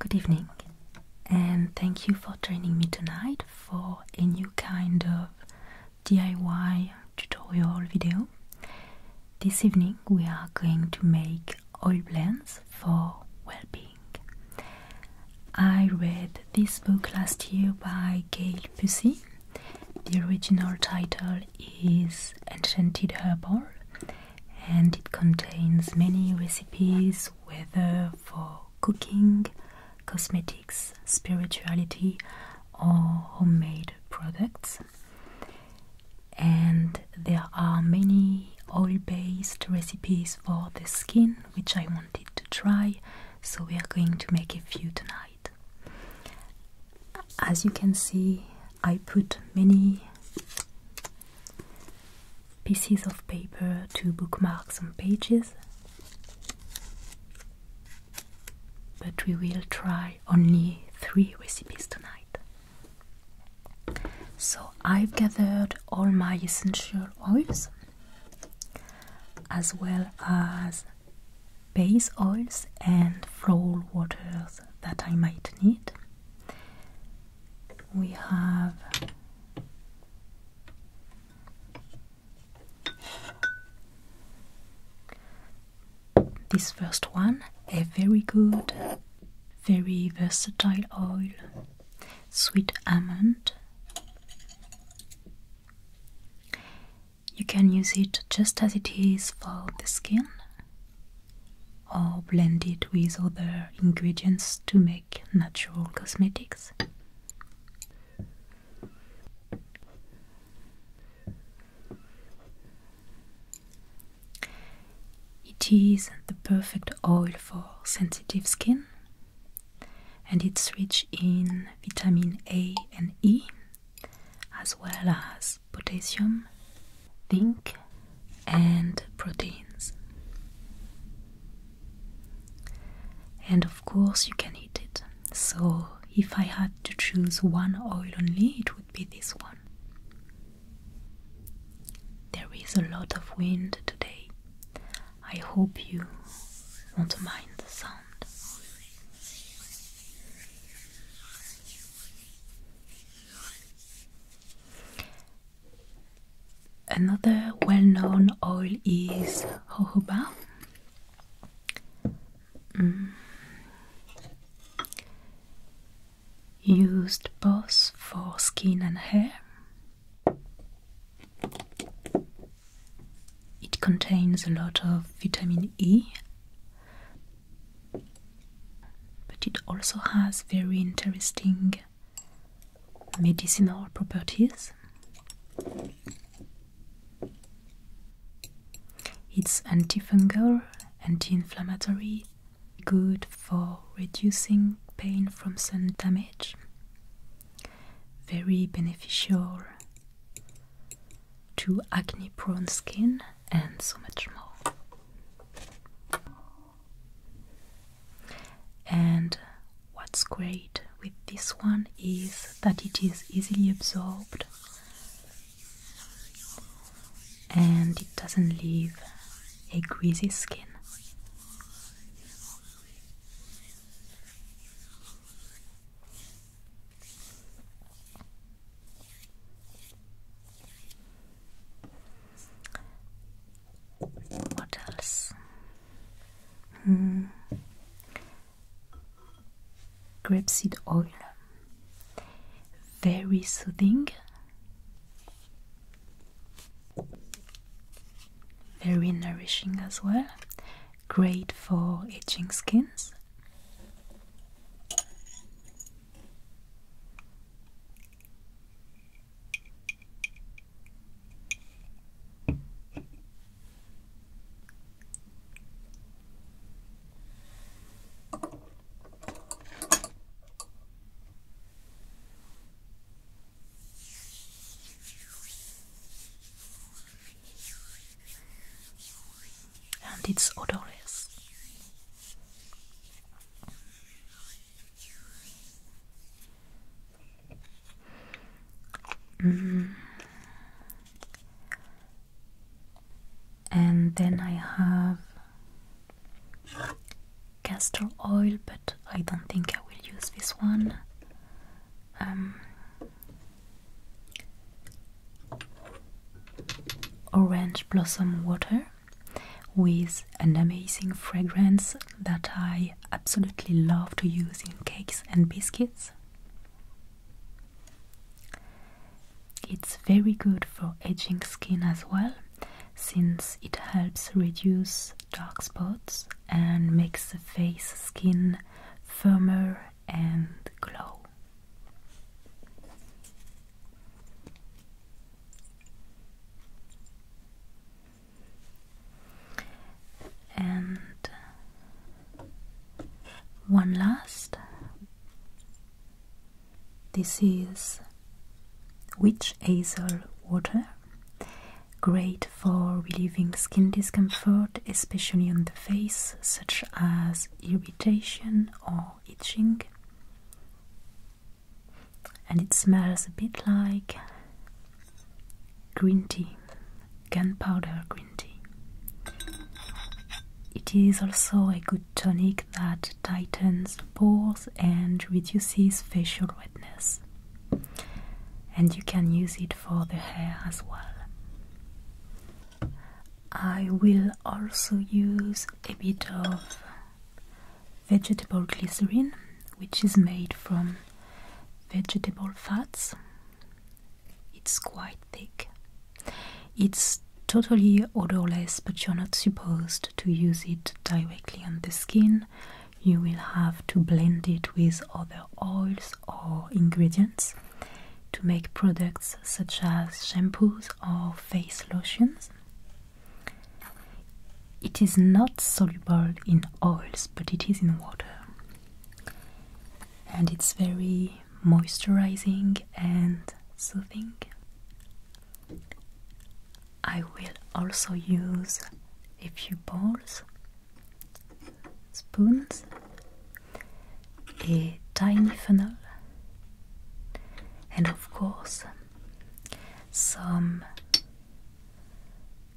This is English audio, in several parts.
Good evening, and thank you for joining me tonight for a new kind of DIY tutorial video. This evening, we are going to make oil blends for well being. I read this book last year by Gail Pusey. The original title is Enchanted Herbal and it contains many recipes, whether for cooking, cosmetics, spirituality, or homemade products and there are many oil based recipes for the skin which I wanted to try, so we are going to make a few tonight. As you can see, I put many pieces of paper to bookmarks on pages, but we will try only three recipes tonight. So I've gathered all my essential oils as well as base oils and floral waters that I might need. We have this first one, a very good, very versatile oil sweet almond. You can use it just as it is for the skin or blend it with other ingredients to make natural cosmetics. It is the perfect oil for sensitive skin and it's rich in vitamin A and E as well as potassium, zinc and proteins. And of course you can eat it. So if I had to choose one oil only, it would be this one. There is a lot of wind today. I hope you won't mind the sound. Another well known oil is jojoba. Mm used both for skin and hair. It contains a lot of vitamin E, but it also has very interesting medicinal properties. It's antifungal, anti inflammatory, good for reducing pain from sun damage, very beneficial to acne prone skin, and so much more. And what's great with this one is that it is easily absorbed and it doesn't leave a greasy skin. What else? Mm. Grapeseed oil, very soothing, very nourishing as well, great for itching skins and it's odorless. Mm. And then I have castor oil, but I don't think I will use this one. Um, orange blossom water with an amazing fragrance that I absolutely love to use in cakes and biscuits. It's very good for aging skin as well, since it helps reduce dark spots and makes the face skin firmer and glow. And one last. This is Witch Hazel water. Great for relieving skin discomfort, especially on the face, such as irritation or itching. And it smells a bit like green tea, gunpowder green tea. It is also a good tonic that tightens pores and reduces facial redness and you can use it for the hair as well. I will also use a bit of vegetable glycerin, which is made from vegetable fats. It's quite thick. It's totally odorless, but you're not supposed to use it directly on the skin you will have to blend it with other oils or ingredients to make products such as shampoos or face lotions. It is not soluble in oils, but it is in water. And it's very moisturizing and soothing. I will also use a few bowls, spoons, a tiny funnel, and of course some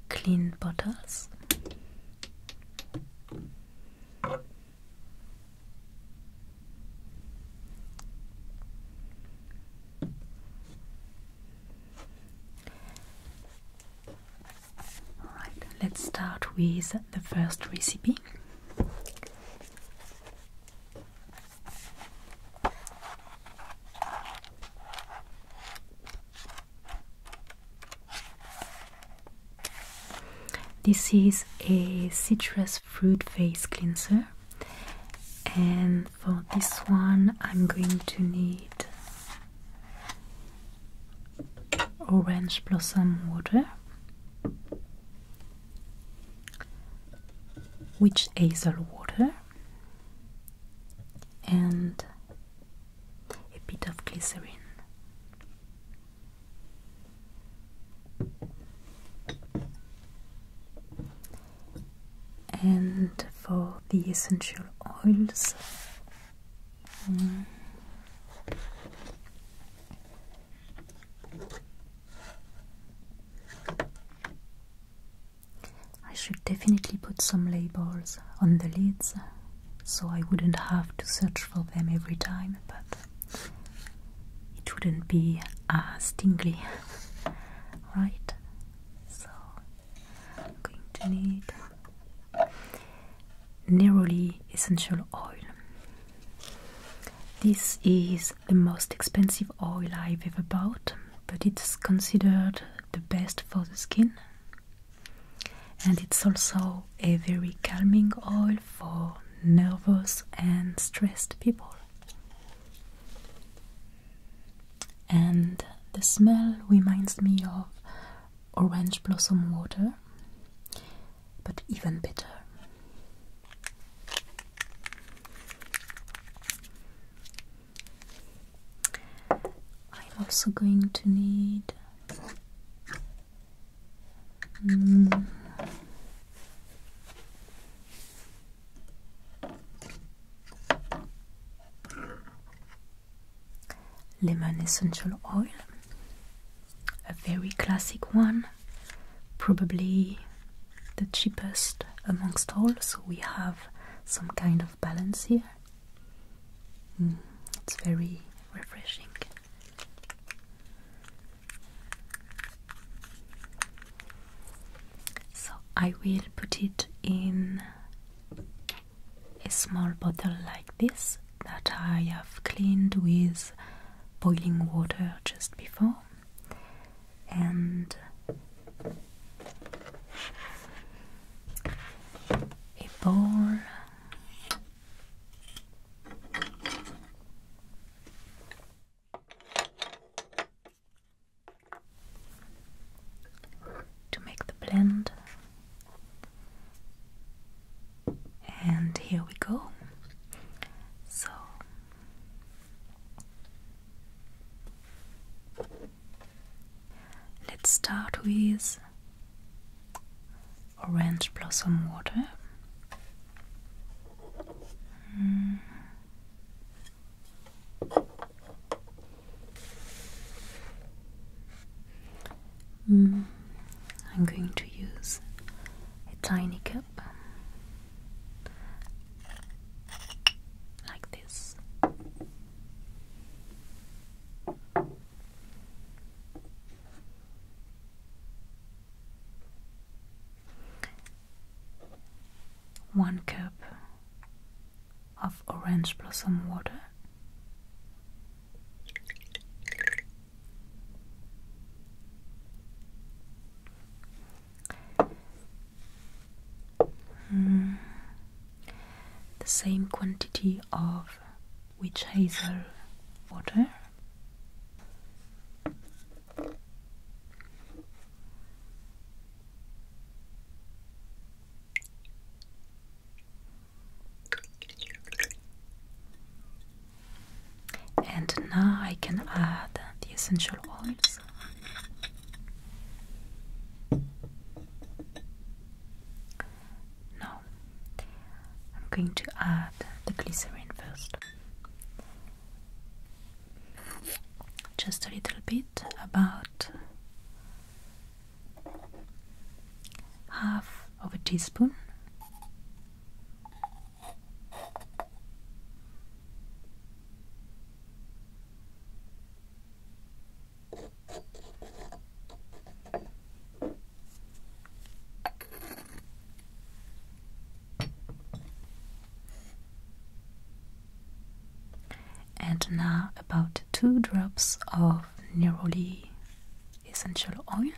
clean bottles. Alright, let's start with the first recipe. This is a citrus fruit face cleanser, and for this one I'm going to need orange blossom water witch hazel water and a bit of glycerin and for the essential oils. I should definitely put some labels on the lids so I wouldn't have to search for them every time, but it wouldn't be uh, as right? So I'm going to need Neroli essential oil. This is the most expensive oil I've ever bought, but it's considered the best for the skin. And it's also a very calming oil for nervous and stressed people and the smell reminds me of orange blossom water, but even better. I'm also going to need mm, lemon essential oil a very classic one probably the cheapest amongst all so we have some kind of balance here mm, it's very refreshing so I will put it in a small bottle like this that I have cleaned with boiling water just before and a bowl to make the blend. And here we go. So let's start with orange blossom water. Mm. Mm, I'm going to use a tiny cup like this. One cup of orange blossom water. Hmm. The same quantity of witch hazel water. And now I can add the essential oils. No, I'm going to add the glycerin first. Just a little bit, about half of a teaspoon and now about two drops of neroli essential oil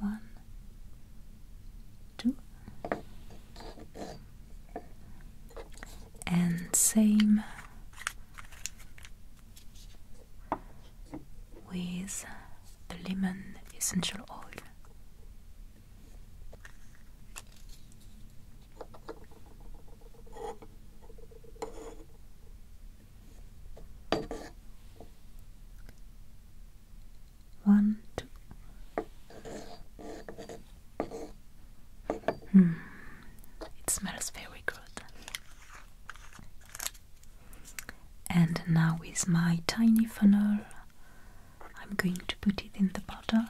one, two, and same with the lemon essential oil. One, two. Hmm, it smells very good. And now, with my tiny funnel, I'm going to put it in the bottle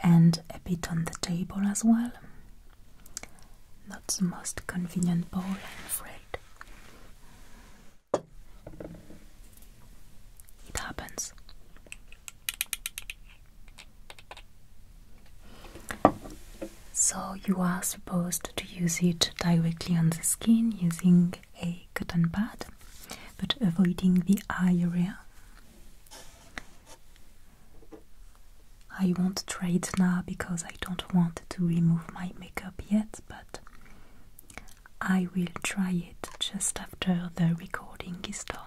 and a bit on the table as well. Not the most convenient bowl, I'm afraid. It happens. So, you are supposed to use it directly on the skin using a cotton pad, but avoiding the eye area. I won't try it now because I don't want to remove my makeup yet, but I will try it just after the recording is done.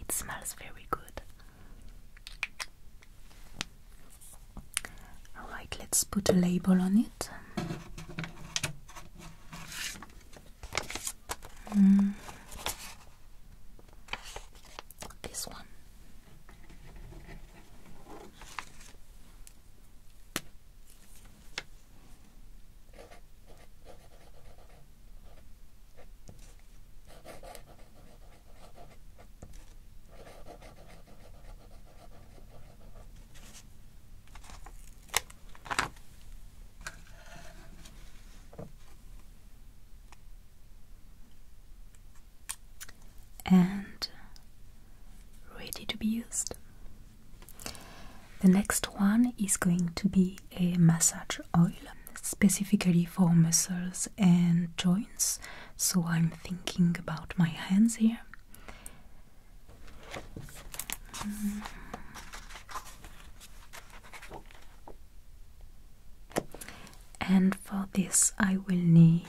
It smells very good. Alright, let's put a label on it. Mm. This one and ready to be used. The next one is going to be a massage oil specifically for muscles and joints, so I'm thinking about my hands here. And for this, I will need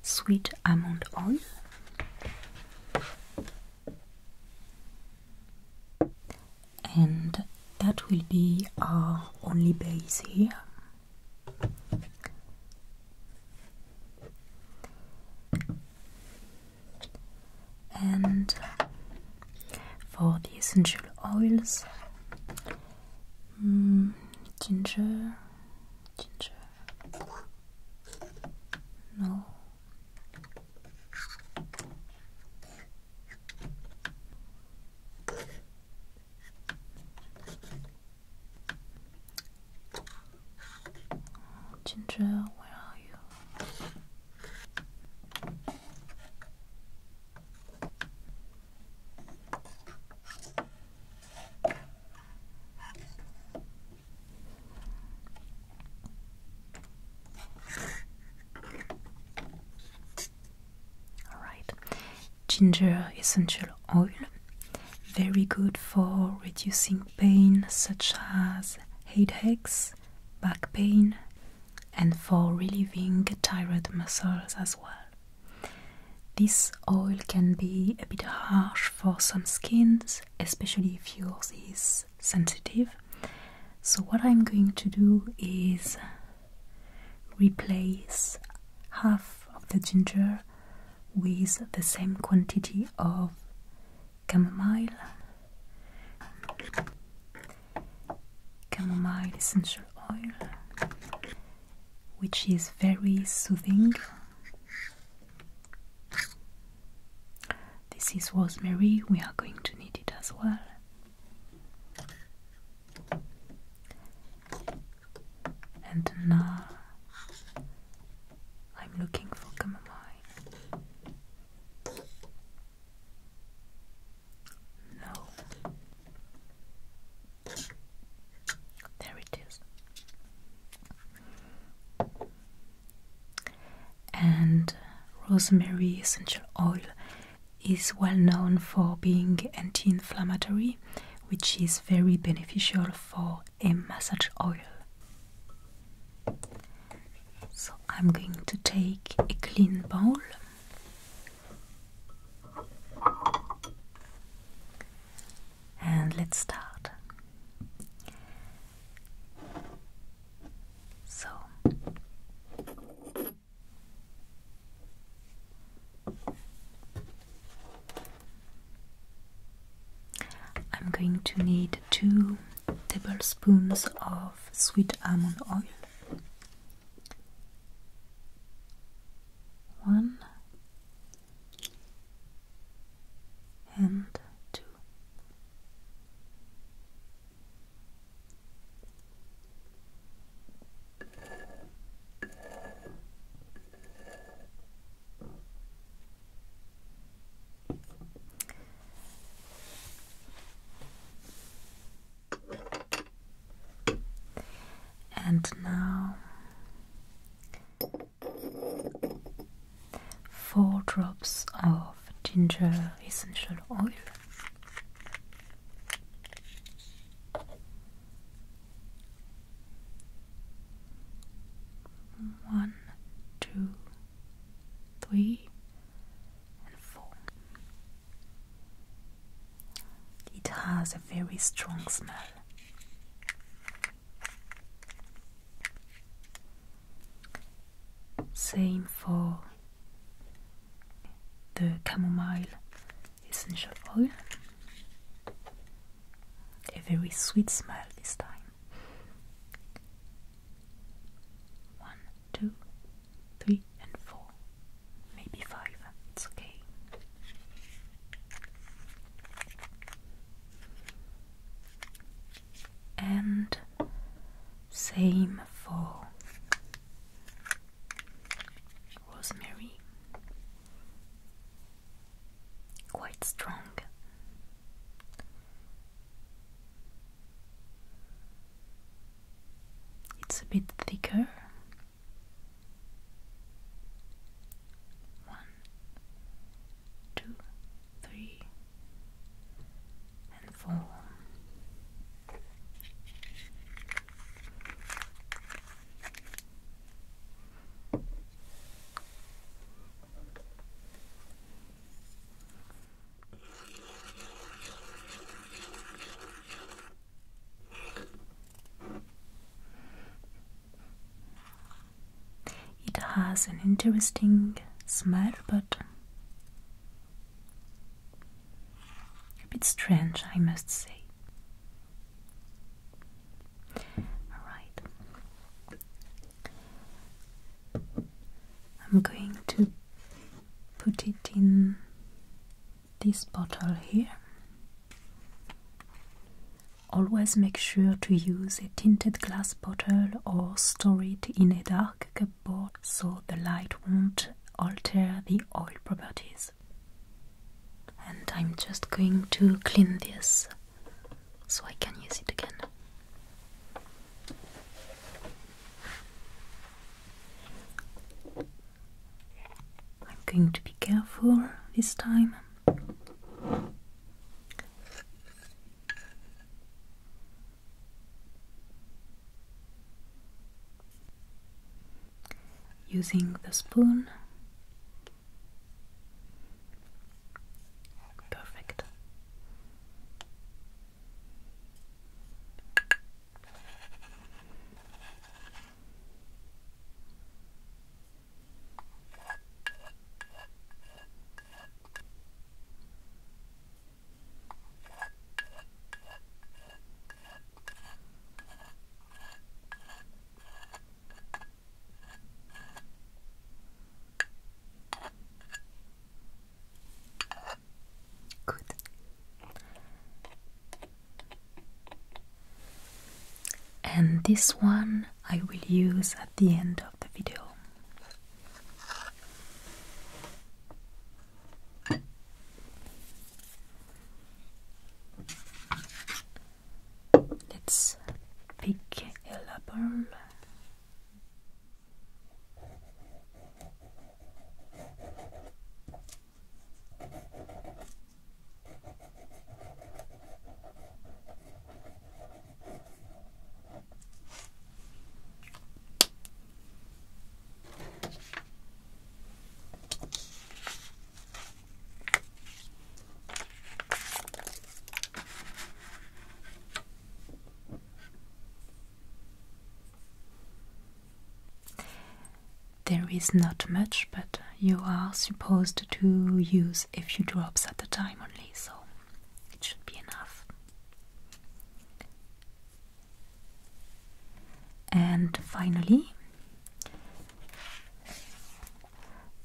sweet almond oil, and that will be our only base here and for the essential oils mm, ginger ginger no Ginger, where are you? Alright, ginger essential oil, very good for reducing pain such as headaches, back pain, and for relieving tired muscles as well. This oil can be a bit harsh for some skins, especially if yours is sensitive. So, what I'm going to do is Replace half of the ginger with the same quantity of chamomile. Chamomile essential oil, which is very soothing. This is rosemary, we are going to need it as well. And now I'm looking for chamomile. No. There it is. And rosemary essential oil is well known for being anti inflammatory, which is very beneficial for a massage oil. So, I'm going to take a clean bowl. And let's start. So, I'm going to need two tablespoons of sweet almond oil, one and two. And now four drops of ginger essential oil. One, two, three, and four. It has a very strong smell. Same for the chamomile essential oil. A very sweet smile this time. One, two, three, and four. Maybe five. It's okay. And same for rosemary, quite strong. It's a bit thicker. One, two, three, and four. It has an interesting smell, but a bit strange, I must say. Alright. I'm going to put it in this bottle here. Always make sure to use a tinted glass bottle or store it in a dark cupboard so the light won't alter the oil properties. And I'm just going to clean this so I can use it again. I'm going to be careful this time using the spoon. Perfect. Good. And this one I will use at the end of the video. Let's pick a label. There is not much, but you are supposed to use if you drops at a time only, so it should be enough. And finally,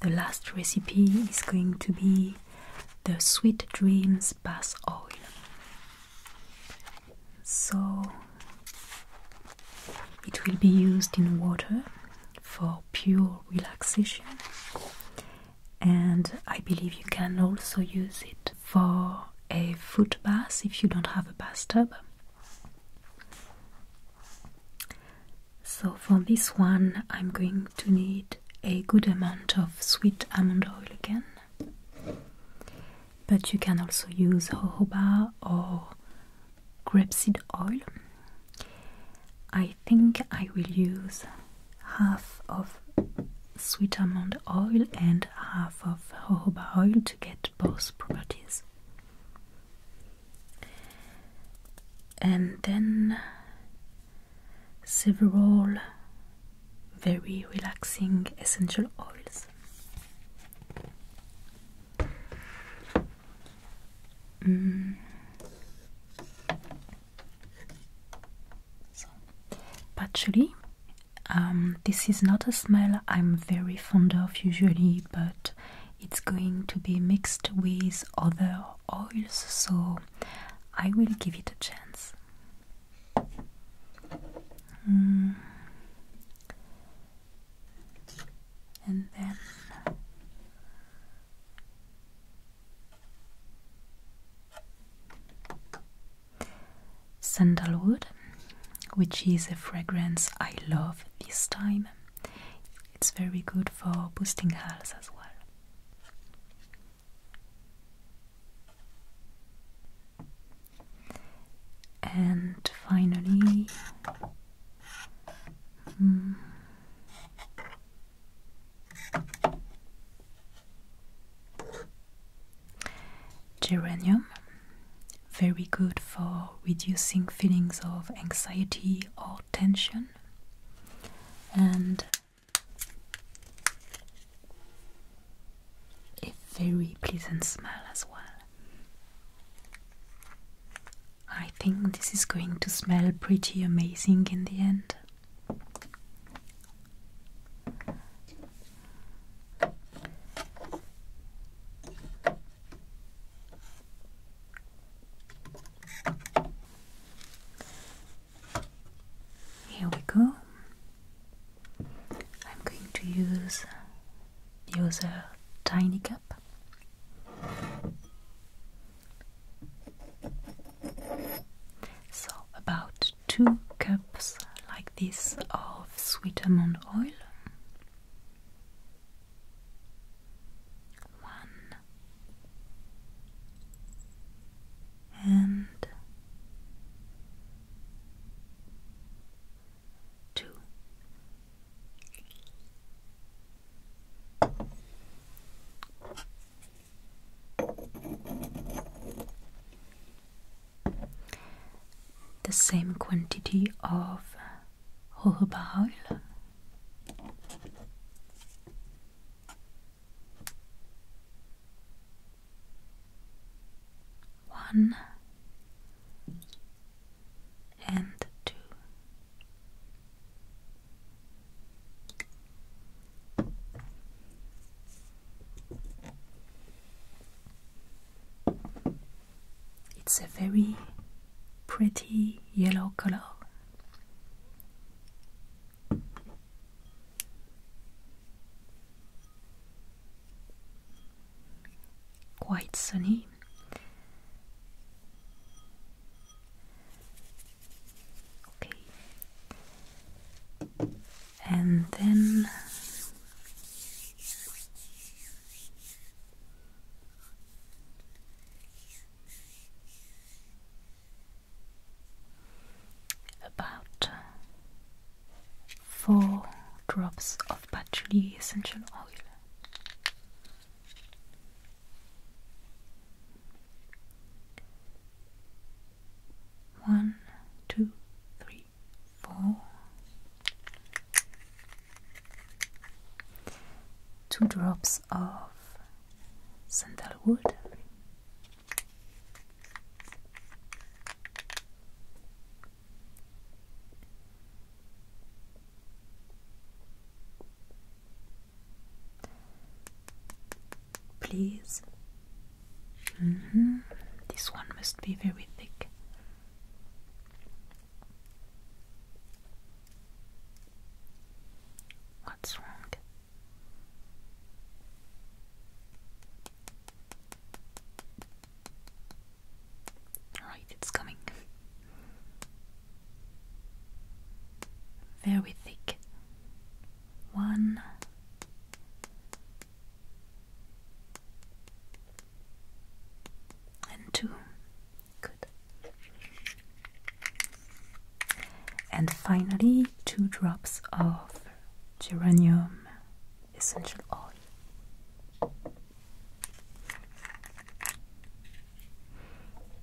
the last recipe is going to be the Sweet Dreams Bath Oil. So it will be used in water for pure relaxation, and I believe you can also use it for a foot bath if you don't have a bathtub. So for this one I'm going to need a good amount of sweet almond oil again. But you can also use jojoba or grapeseed oil. I think I will use half of sweet almond oil and half of jojoba oil to get both properties and then several very relaxing essential oils. Mm. So, patchouli. Um, this is not a smell I'm very fond of usually, but it's going to be mixed with other oils, so I will give it a chance. Mm. And then sandalwood which is a fragrance I love this time. It's very good for boosting health as well. And finally, hmm, geranium very good for reducing feelings of anxiety or tension and a very pleasant smell as well. I think this is going to smell pretty amazing in the end. Here we go. I'm going to use the other tiny cup. So about two cups like this of sweet almond oil one and two. The same quantity of hohe Bahaül. One and two. It's a very pretty yellow color. Quite sunny. Okay. And then about uh, four drops of patchouli essential oil. One, two, three, four two drops of sandalwood, please. Mm-hmm. This one must be very thick. What's wrong? Right, it's coming. Very thick. One. And two and finally, two drops of geranium essential oil.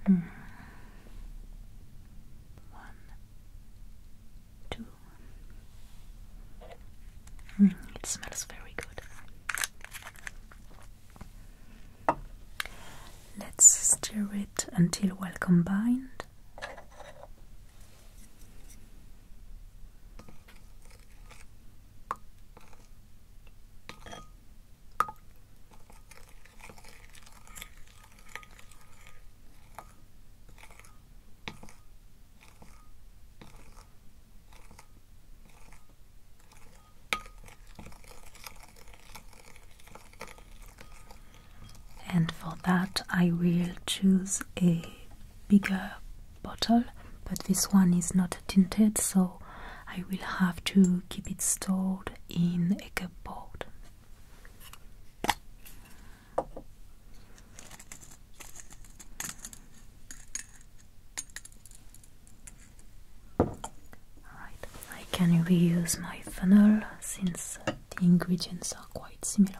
Hmm. One, two. Hmm, it smells very good. Let's stir it until well combined. And for that, I will choose a bigger bottle, but this one is not tinted, so I will have to keep it stored in a cupboard. Alright, I can reuse my funnel since the ingredients are quite similar.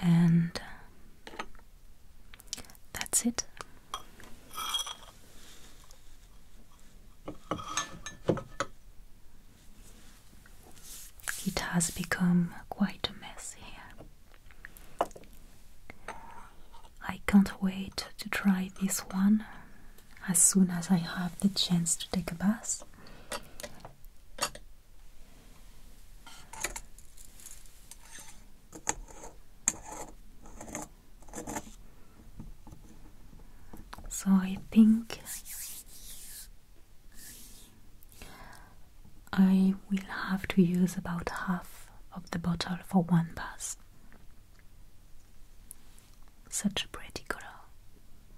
And that's it. It has become quite a mess here. I can't wait to try this one as soon as I have the chance to take a bath. So I think I will have to use about half of the bottle for one bath. Such a pretty color.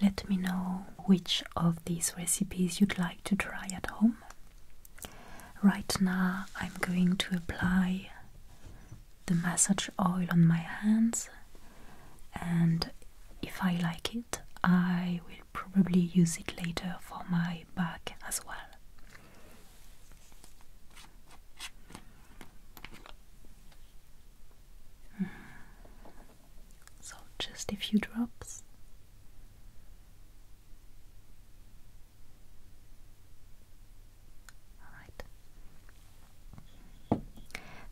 Let me know which of these recipes you'd like to try at home. Right now, I'm going to apply the massage oil on my hands, and if I like it, I will probably use it later for my back as well. Mm-hmm. So, just a few drops.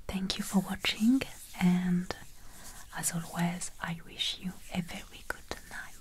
Thank you for watching, and as always, I wish you a very good night.